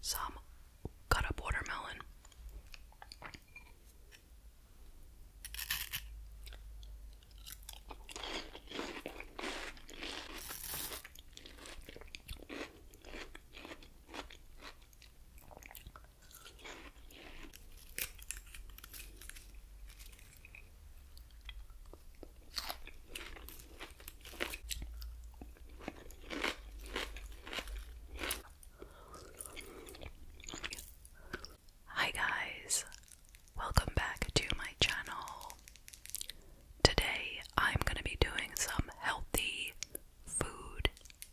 some cut up watermelon. Hi guys, welcome back to my channel. Today I'm going to be doing some healthy food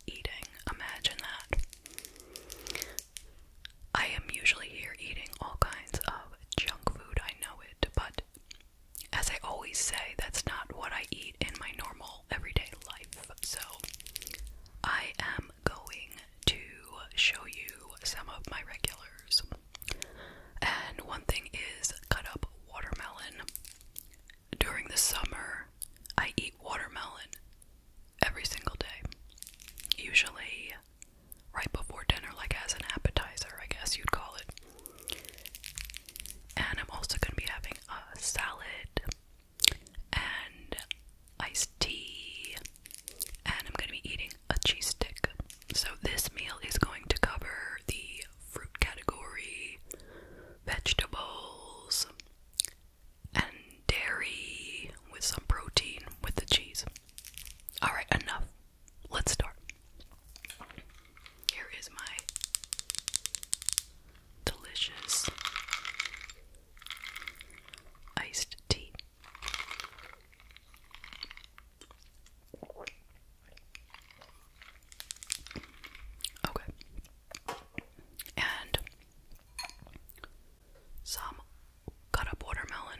eating. Imagine that. I am usually here eating all kinds of junk food, I know it, but as I always say, that's not what I eat in my normal everyday life. So I am going to show you some of my regulars. And one thing is cut up watermelon. During the summer, I eat watermelon every single day. Usually right before dinner, like as an appetizer, I guess you'd call it. And I'm also going to be having a salad and iced tea. And I'm going to be eating a cheese stick. So, this meal is going to cover the fruit category, vegetables, and dairy with some protein with the cheese. Alright, enough. Let's start. Here is my delicious iced tea. Okay. And some cut up watermelon.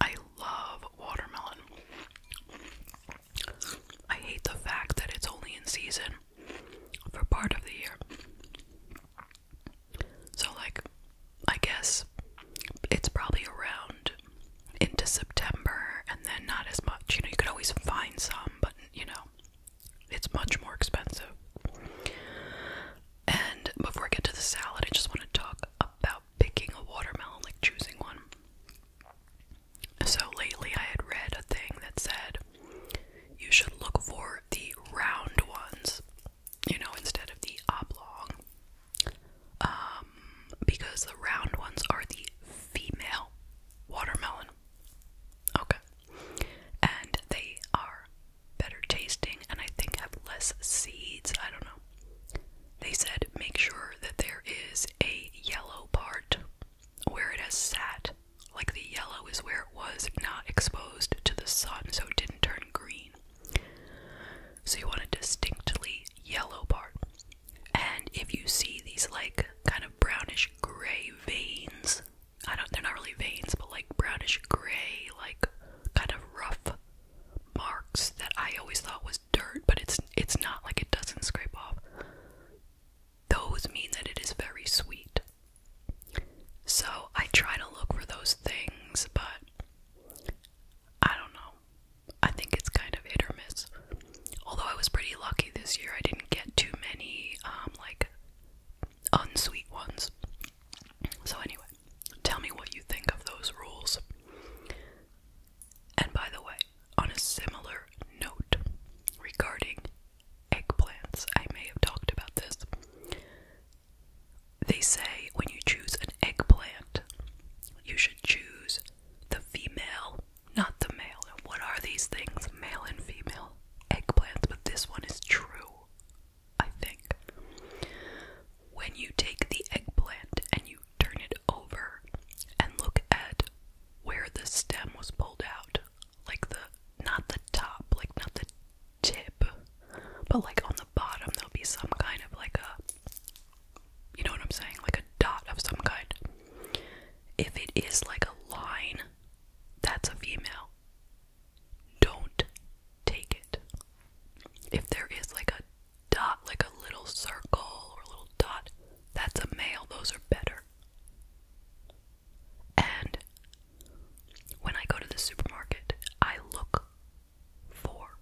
I love watermelon. I hate the fact that it's only in season for part of the year. So, like, I guess it's probably around into September and then not as much. You know, you could always find some, but you know, it's much more expensive. And before I get to the salad, I just want to talk about picking a watermelon, like choosing one. So lately I had read a thing that said you should look for the round ones, you know, instead of the oblong. Um, because the round ones are the female watermelon. Okay. And they are better tasting and I think have less seeds. I don't know. They said make sure that there is a yellow part where it has sat. Like the yellow is where it was not exposed to the sun, so it didn't turn green. So you want a distinctly yellow part. And if you see these like kind of brownish gray veins, I don't they're not really veins, but like brownish gray, like kind of rough marks that I always thought was dirt, but it's it's not like it doesn't scrape off. Those mean that it is very sweet. So I try to look for those things, but I don't know. I think it's kind of hit or miss. Although I was pretty lucky this year, I didn't get too many um, like unsweet ones. So anyway, Tell me what you think of those rules. And by the way, on a similar note regarding eggplants, I may have talked about this. They say when you choose an eggplant, you should choose the female, not the male. What are these things? Male and female eggplants, but this one is true I think. When you take the eggplant and you turn it over and look at where the stem was pulled out, like the not the top, like not the tip, but like on the bottom, there'll be some kind of like a you know what I'm saying, like a dot of some kind. If it is like a line, that's a female don't take it. If there is like a dot, like a little circle or a little dot, that's a male. Those are better. And when I go to the supermarket, I look for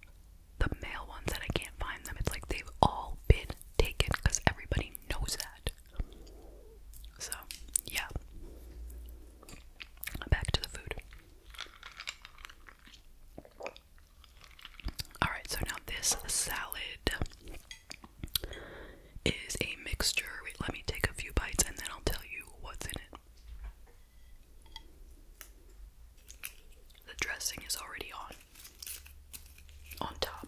the male ones and I can't find them. It's like they've all been taken because everybody knows that. So, yeah. Back to the food. Alright, so now this salad is a mixture. Wait, let me take a few bites and then I'll tell you what's in it. The dressing is already on. On top.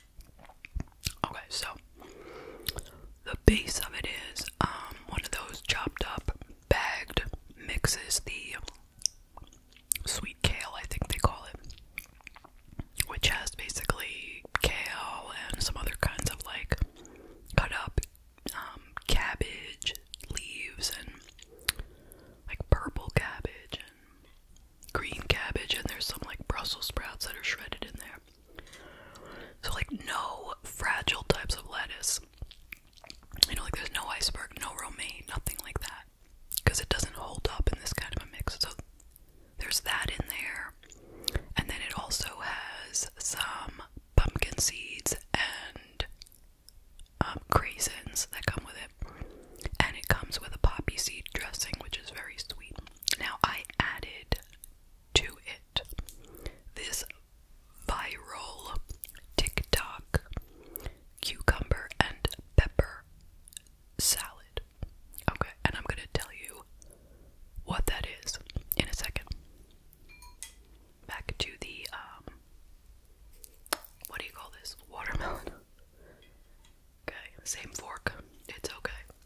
Okay, so the base of it is um, one of those chopped up, bagged mixes, the sweet kale, I think they call it, which has basically kale and some other kinds of like cut up um, cabbage leaves and like purple cabbage and green cabbage, and there's some like Brussels sprouts that are shredded in there. So, like, no fragile types of lettuce. You know, like, there's no iceberg, no romaine, nothing like that. Because it doesn't hold up in this kind of a mix. So, there's that in there. And then it also has some pumpkin seeds and um, craisins that come with it. And it comes with a poppy seed dressing, which is very sweet. Now, I added to it. This viral TikTok cucumber and pepper salad. Okay, and I'm going to tell you what that is in a second. Back to the, um, what do you call this? Watermelon. Okay, same fork. It's okay.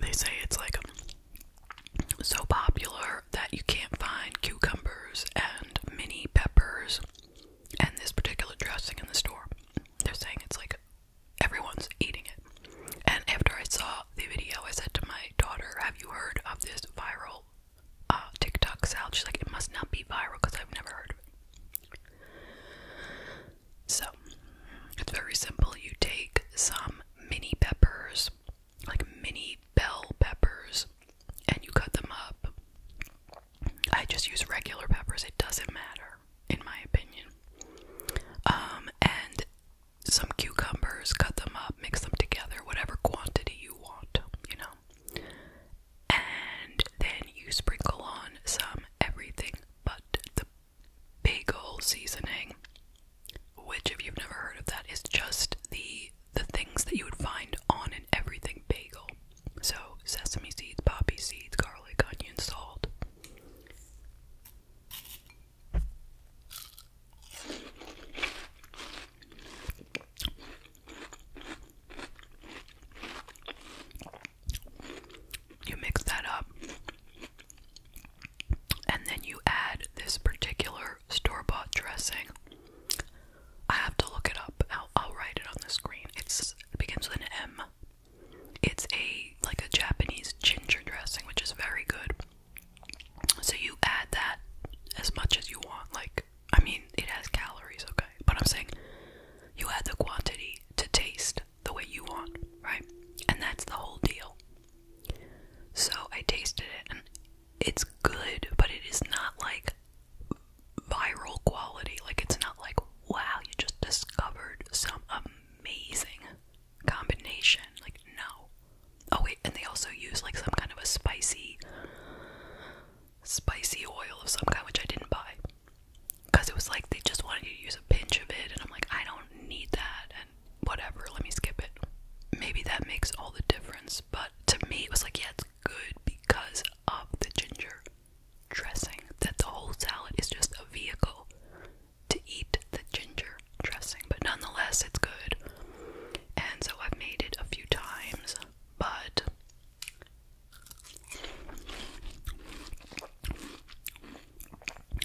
They say it's like so popular that you can't find cucumbers and mini peppers and this particular dressing in the store. They're saying it's like everyone's eating it. And after I saw the video, I said to my daughter, Have you heard of this viral uh, TikTok salad? She's like, It must not be viral because I've never heard of it. So it's very simple. You take some mini peppers, like mini bell peppers, and you cut them up. I just use regular peppers, it doesn't matter, in my opinion. Um, and some cucumbers, cut them up, mix them together, whatever quantity you want, you know. And then you sprinkle on some everything but the bagel seasoning, which, if you've never heard of that, is just the the things that you would find on an everything bagel. So sesame seeds, poppy seeds, garlic, onion, salt. You mix that up, and then you add this particular store bought dressing. I have to look it up. I'll, write it on the screen. It's, it begins with an M. It's a like a Japanese ginger dressing, which is very good. So you add that as much as you want. Like, I mean, it has calories, okay? But I'm saying you add the quantity to taste the way you want, right? And that's the whole deal. So I tasted it and it's good, but it is not like viral quality. Like it's not like, wow, you just discovered some amazing combination. Like, no. Oh wait, and they also use like some kind of a spicy spicy oil of some kind which I didn't buy because it was like they just wanted you to use a pinch of it, and I'm like, I don't need that, and whatever, let me skip it. Maybe that makes all the difference, but to me, it was like, yeah, it's good because of the ginger dressing. That the whole salad is just a vehicle to eat the ginger dressing, but nonetheless, it's good. And so I've made it a few times, but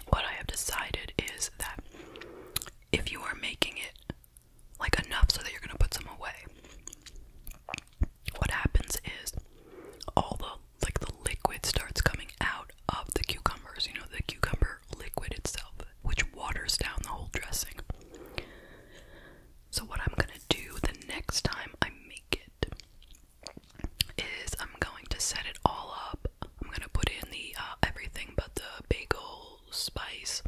what I have decided is that if you are making it like enough so that you're gonna put some away, what happens is all the like the liquid starts coming out of the cucumbers, you know, the cucumber liquid itself, which waters down the whole dressing. So, what I'm gonna do the next time I make it is I'm going to set it all up. I'm going to put in the uh, everything but the bagel spice.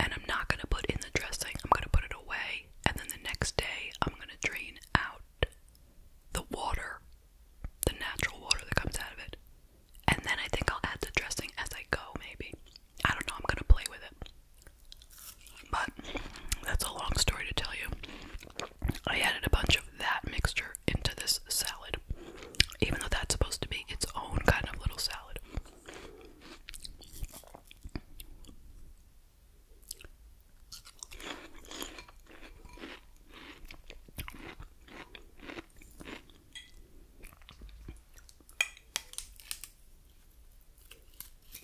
And I'm not going to put in the dressing. I'm going to put it away. And then the next day, I'm going to drain out the water, the natural water that comes out of it. And then I think I'll add the dressing as I go, maybe. I don't know. I'm going to play with it. But that's a long story to tell you. I added a bunch of that mixture into this salad, even though that's supposed to be its own kind of little salad.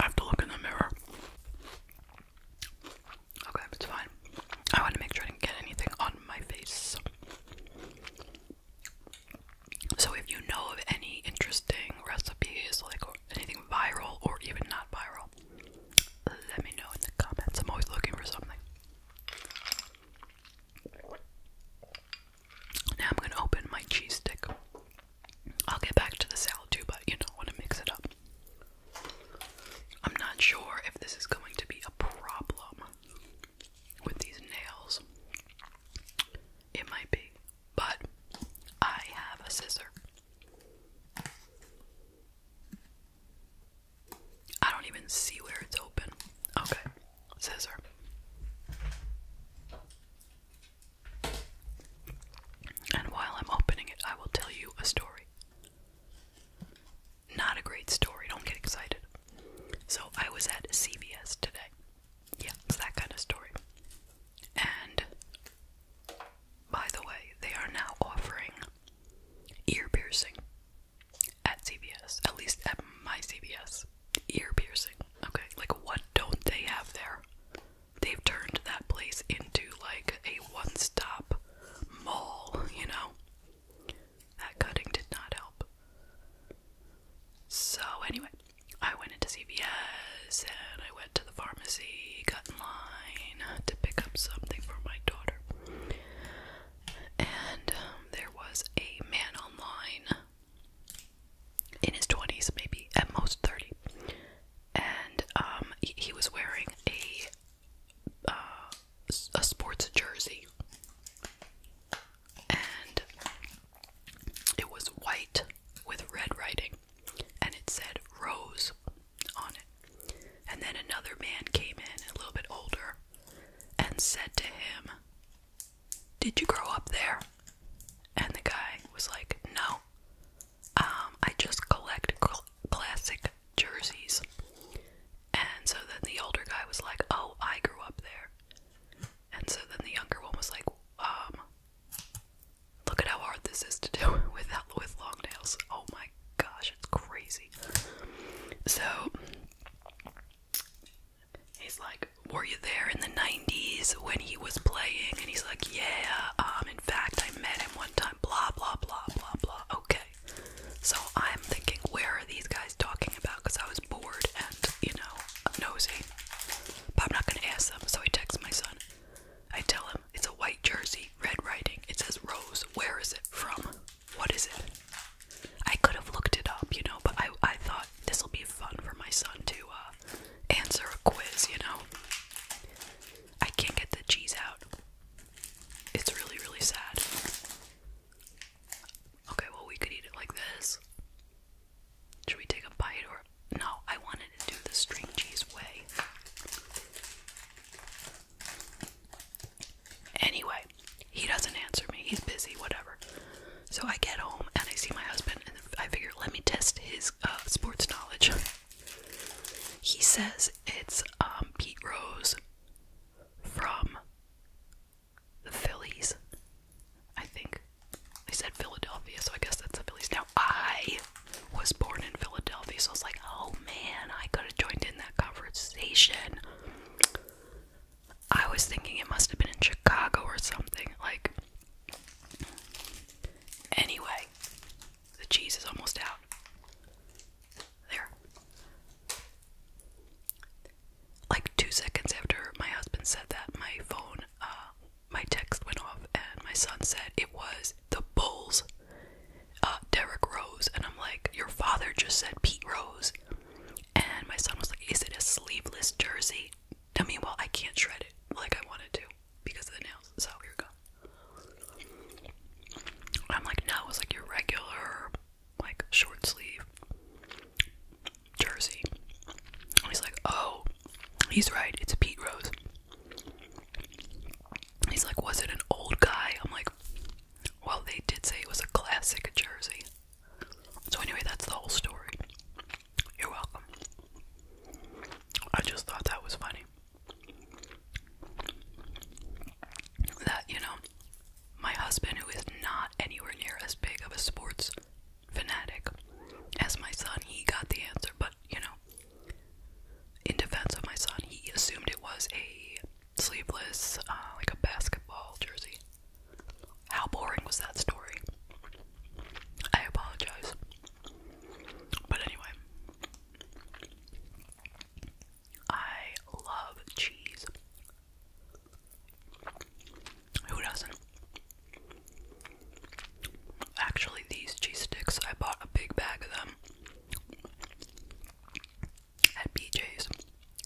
I have to look in the mirror. Okay, it's fine. I want to make sure I didn't get anything on my face. So, if you know of any interesting recipes, like anything viral or even not viral, let me know in the comments. I'm always looking for something. Now I'm gonna open my cheese stick. I'll get back to the salad too, but you know, want to mix it up. I'm not sure if this is going to be a problem with these nails. It might be, but I have a scissor I don't even see where it's open. Okay, scissor. And while I'm opening it, I will tell you a story. Not a great story, don't get excited. So, I was at CVS today. Yeah, it's that kind of story. And by the way, they are now offering ear piercing at CVS, at least at my CVS. Ear piercing. Okay, like what don't they have there? They've turned that place into like a one stop mall, you know? That cutting did not help. So, anyway, I went into CVS and I went to the pharmacy, got in line to pick up something for my daughter. And um, there was a man online in his 20s, maybe at most 30. And um, he, was wearing a, uh, a sports jersey. And it was white with red writing and it said Rose on it. And then another man came in, a little bit older, and said to him, Did you grow up there? And the guy was like, No, um, I just collect classic jerseys. And so then the older guy was like, Oh, I grew up there. And so then the younger one was like, Um, Look at how hard this is to do with with long nails. Oh my gosh, it's crazy. So he's like, "Were you there in the '90s when he was playing?" And he's like, "Yeah. Um, in fact, I met him one time. Blah blah blah blah blah." Okay. So I'm thinking, where are these guys talking about? Because I was bored and you know, nosy. But I'm not gonna ask them. So he texts my son. I tell him it's a white jersey, red writing. It says Rose. Where is it from? What is it? I could have looked it up, you know, but I I thought this will be fun for my son to uh, answer a quiz, you know. I can't get the cheese out. It's really really sad. Okay, well we could eat it like this. Should we take a bite or no? I wanted to do the string cheese way. Anyway, he doesn't answer me. He's busy, whatever. So I get home and I see my husband, and I figure let me test his uh, sports knowledge. He says it's um, Pete Rose from the Phillies. I think. I said Philadelphia, so I guess that's the Phillies. Now, I was born in Philadelphia, so I was like, oh man, I could have joined in that conversation. I was thinking it must have been in Chicago or something. Like, anyway, the cheese is almost out. There. Like two seconds after my husband said that, my phone uh, my text went off and my son said it was the Bulls, uh, Derek Rose. And I'm like, Your father just said Pete Rose. And my son was like, Is it a sleeveless jersey? I mean, well, I can't shred it like I wanted to because of the nails. So here we go. I'm like, No, it's like your regular, like, short sleeve jersey. he's like, oh, he's right, it's Pete Rose. He's like, was it an old guy? I'm like, well, they did say it was a classic jersey. So, anyway, that's the whole story. You're welcome. I just thought that was funny. That, you know, my husband, who is not anywhere near as big of a sports fanatic as my son. He got the answer, but you know, in defense of my son, he assumed it was a sleeveless, uh, like a basketball jersey. How boring was that story? I apologize. But anyway, I love cheese. Who doesn't? Actually, these cheese sticks, I bought a big bag of them at BJ's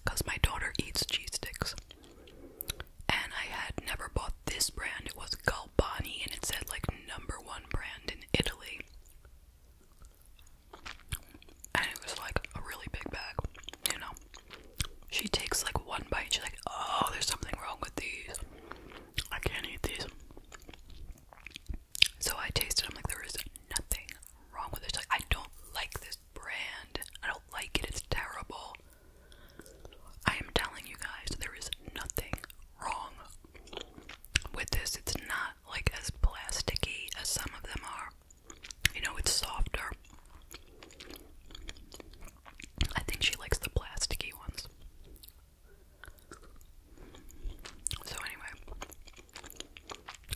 because my daughter eats cheese sticks. And I had never bought this brand. It was Galbani and it said like number one brand in Italy. And it was like a really big bag, you know she takes like one bite, she's like, Oh, there's something wrong with these. I can't eat these. So I tasted, I'm like, there is nothing wrong with this." Like, I don't like this brand. I don't like it, it's terrible. I am telling you guys, there is nothing wrong with this. It's not like as plasticky as some of them are. You know, it's softer. I think she likes the plasticky ones. So anyway,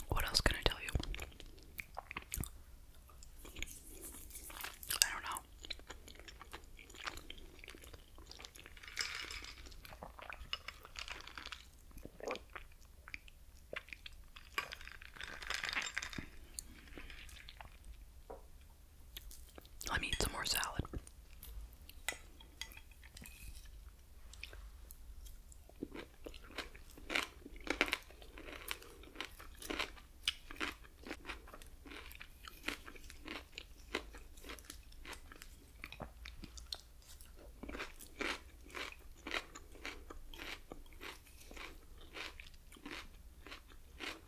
what else can I tell you? I don't know. Let me eat some more salad.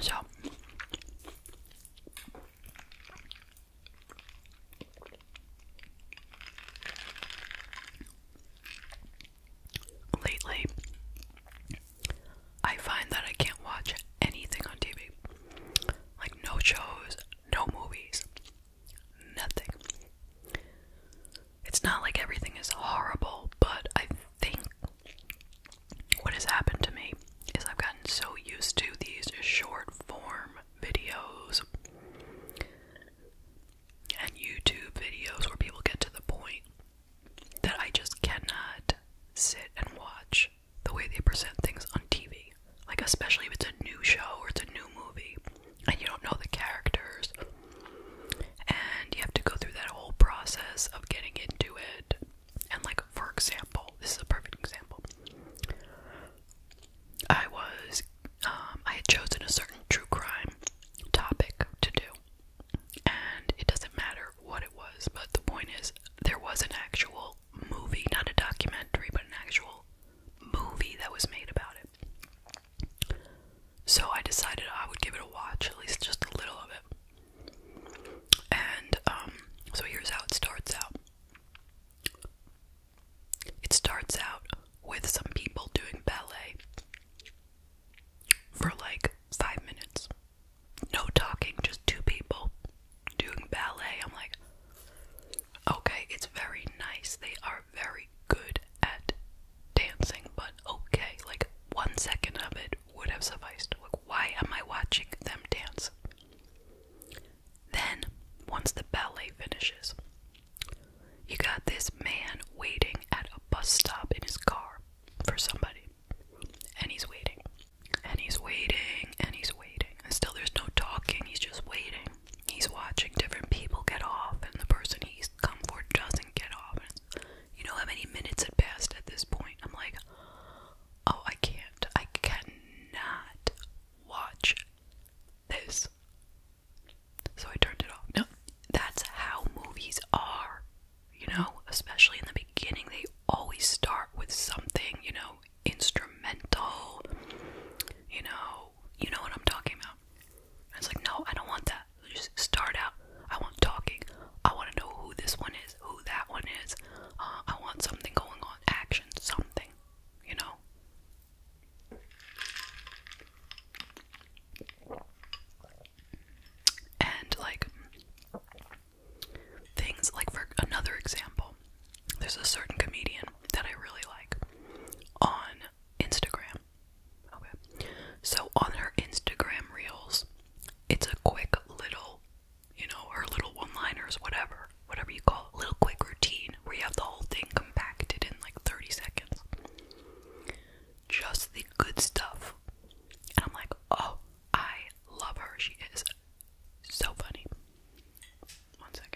So lately I find that I can't watch anything on TV. Like no shows, no movies nothing. It's not like everything is horrible, but I think what has happened to me is I've gotten so used to these short form videos and YouTube videos where people get to the point that I just cannot sit and watch the way they present things on TV. Like, especially if it's a new show or it's a new movie and you don't know the characters. And you have to go through that whole process of getting into it. And, like, for example, this is a perfect example. I was, um, I had chosen a certain true crime topic to do. And it doesn't matter what it was, but the point is, there was an actual movie, not a documentary, but an actual movie that was made about it. So I decided I would give it a watch, at least just a little of it. And um, so here's how it starts out. It starts out with some people doing ballet for like five minutes. No talking, just two people doing ballet. I'm like, Okay, it's very nice. They are very good at dancing, but okay, like one second of it would have sufficed. Like, why am I watching them dance? Then, once the ballet finishes, you got this man waiting at a bus stop in his car for somebody. And he's waiting. And he's waiting. And he's waiting. And still, there's no talking. He's just waiting he's watching different people get off, and the person he's come for doesn't get off. you know how many minutes had passed at this point? I'm like, oh, I can't. I cannot watch this. So I turned it off. No, that's how movies are, you know, especially in the beginning. They always start with something, you know, instrumental, you know, you know what I'm talking about. I was like, no, I don't want that. Just start out. I want talking. I want to know who this one is, who that one is. Uh, I want something going on, action, something, you know. And like things like for another example, there's a certain comedian that I really like on Instagram. So on her Instagram reels, it's a quick little, you know, her little one-liners, whatever, whatever you call it, little quick routine where you have the whole thing compacted in like 30 seconds. Just the good stuff. And I'm like, oh, I love her. She is so funny. One second.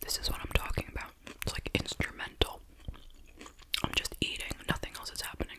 This is what I'm talking about. It's like instrumental. I'm just eating, nothing else is happening.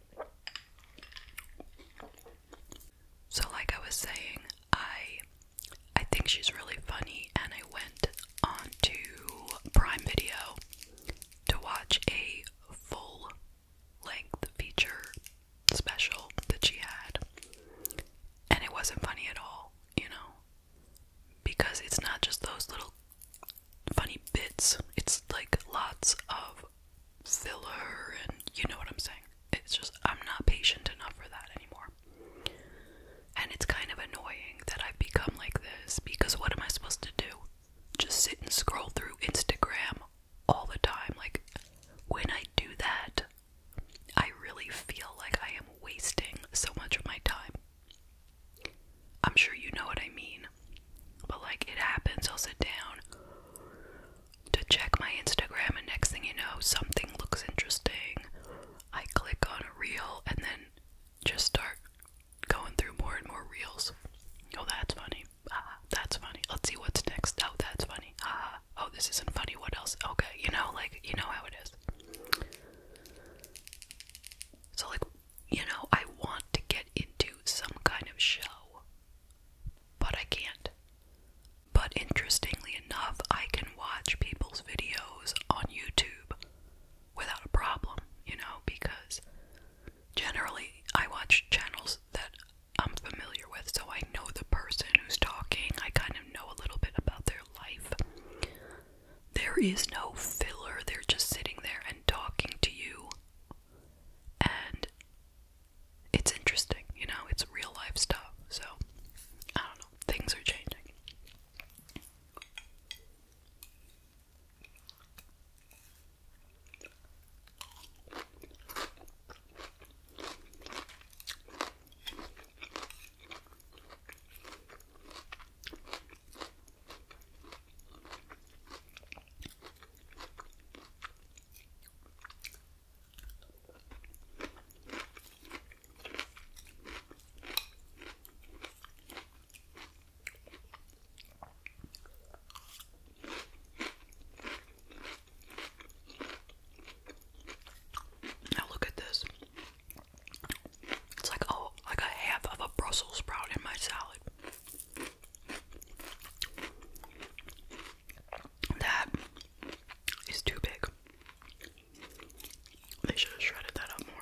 So like I was saying, I I think she's really funny and I went on to Prime Video to watch a full length feature special that she had. And it wasn't funny at all, you know. Because it's not just those little funny bits. It's like lots of filler and you know what I'm saying. It's just I'm not patient enough for that anymore. And it's kind of annoying that I've become like this because what am I supposed to do? Just sit and scroll through Instagram all the time. Like, when I do that, I really feel like I am wasting so much of my time. I'm sure you know what I mean. But like it happens, I'll sit down to check my Instagram, and next thing you know, something looks interesting. I click on a reel and then just start going through more and more reels. Oh, that's funny. that's funny. Let's see what's next. Oh, that's funny. oh, this isn't funny. What else? Okay, you know, like, you know how it is. So, like, you know, I want to get into some kind of show but I can't. But interestingly enough, I can watch people's videos on YouTube without a problem, you know, because generally I watch channels that I'm familiar with, so I know the person who's talking, I kind of know a little bit about their life. There is no filler, they're just sitting there and talking to you and it's interesting, you know, it's real life stuff. So, I don't know, things are changing. Now look at this. It's like oh, like a half of a Brussels sprout in my salad. That is too big. They should have shredded that up more.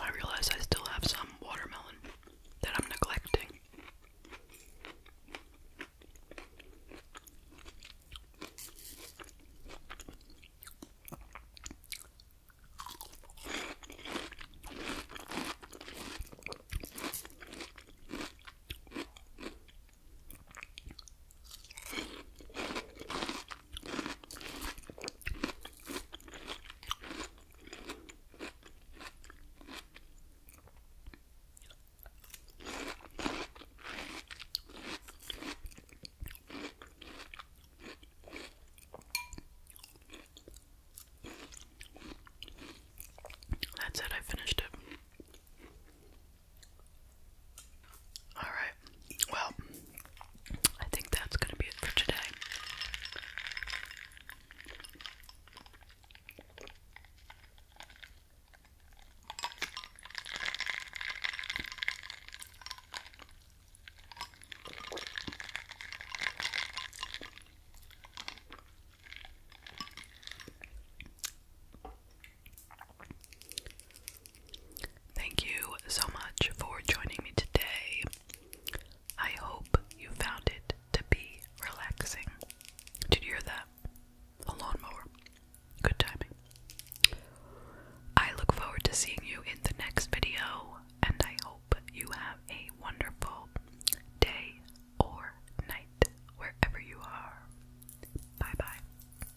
I realize I still have some watermelon that I'm neglecting. That's it, I finished it. Alright, well, I think that's going to be it for today. Thank you so much for joining me today. I hope you found it to be relaxing. Did you hear that? A lawnmower. Good timing. I look forward to seeing you in the next video, and I hope you have a wonderful day or night wherever you are. Bye bye.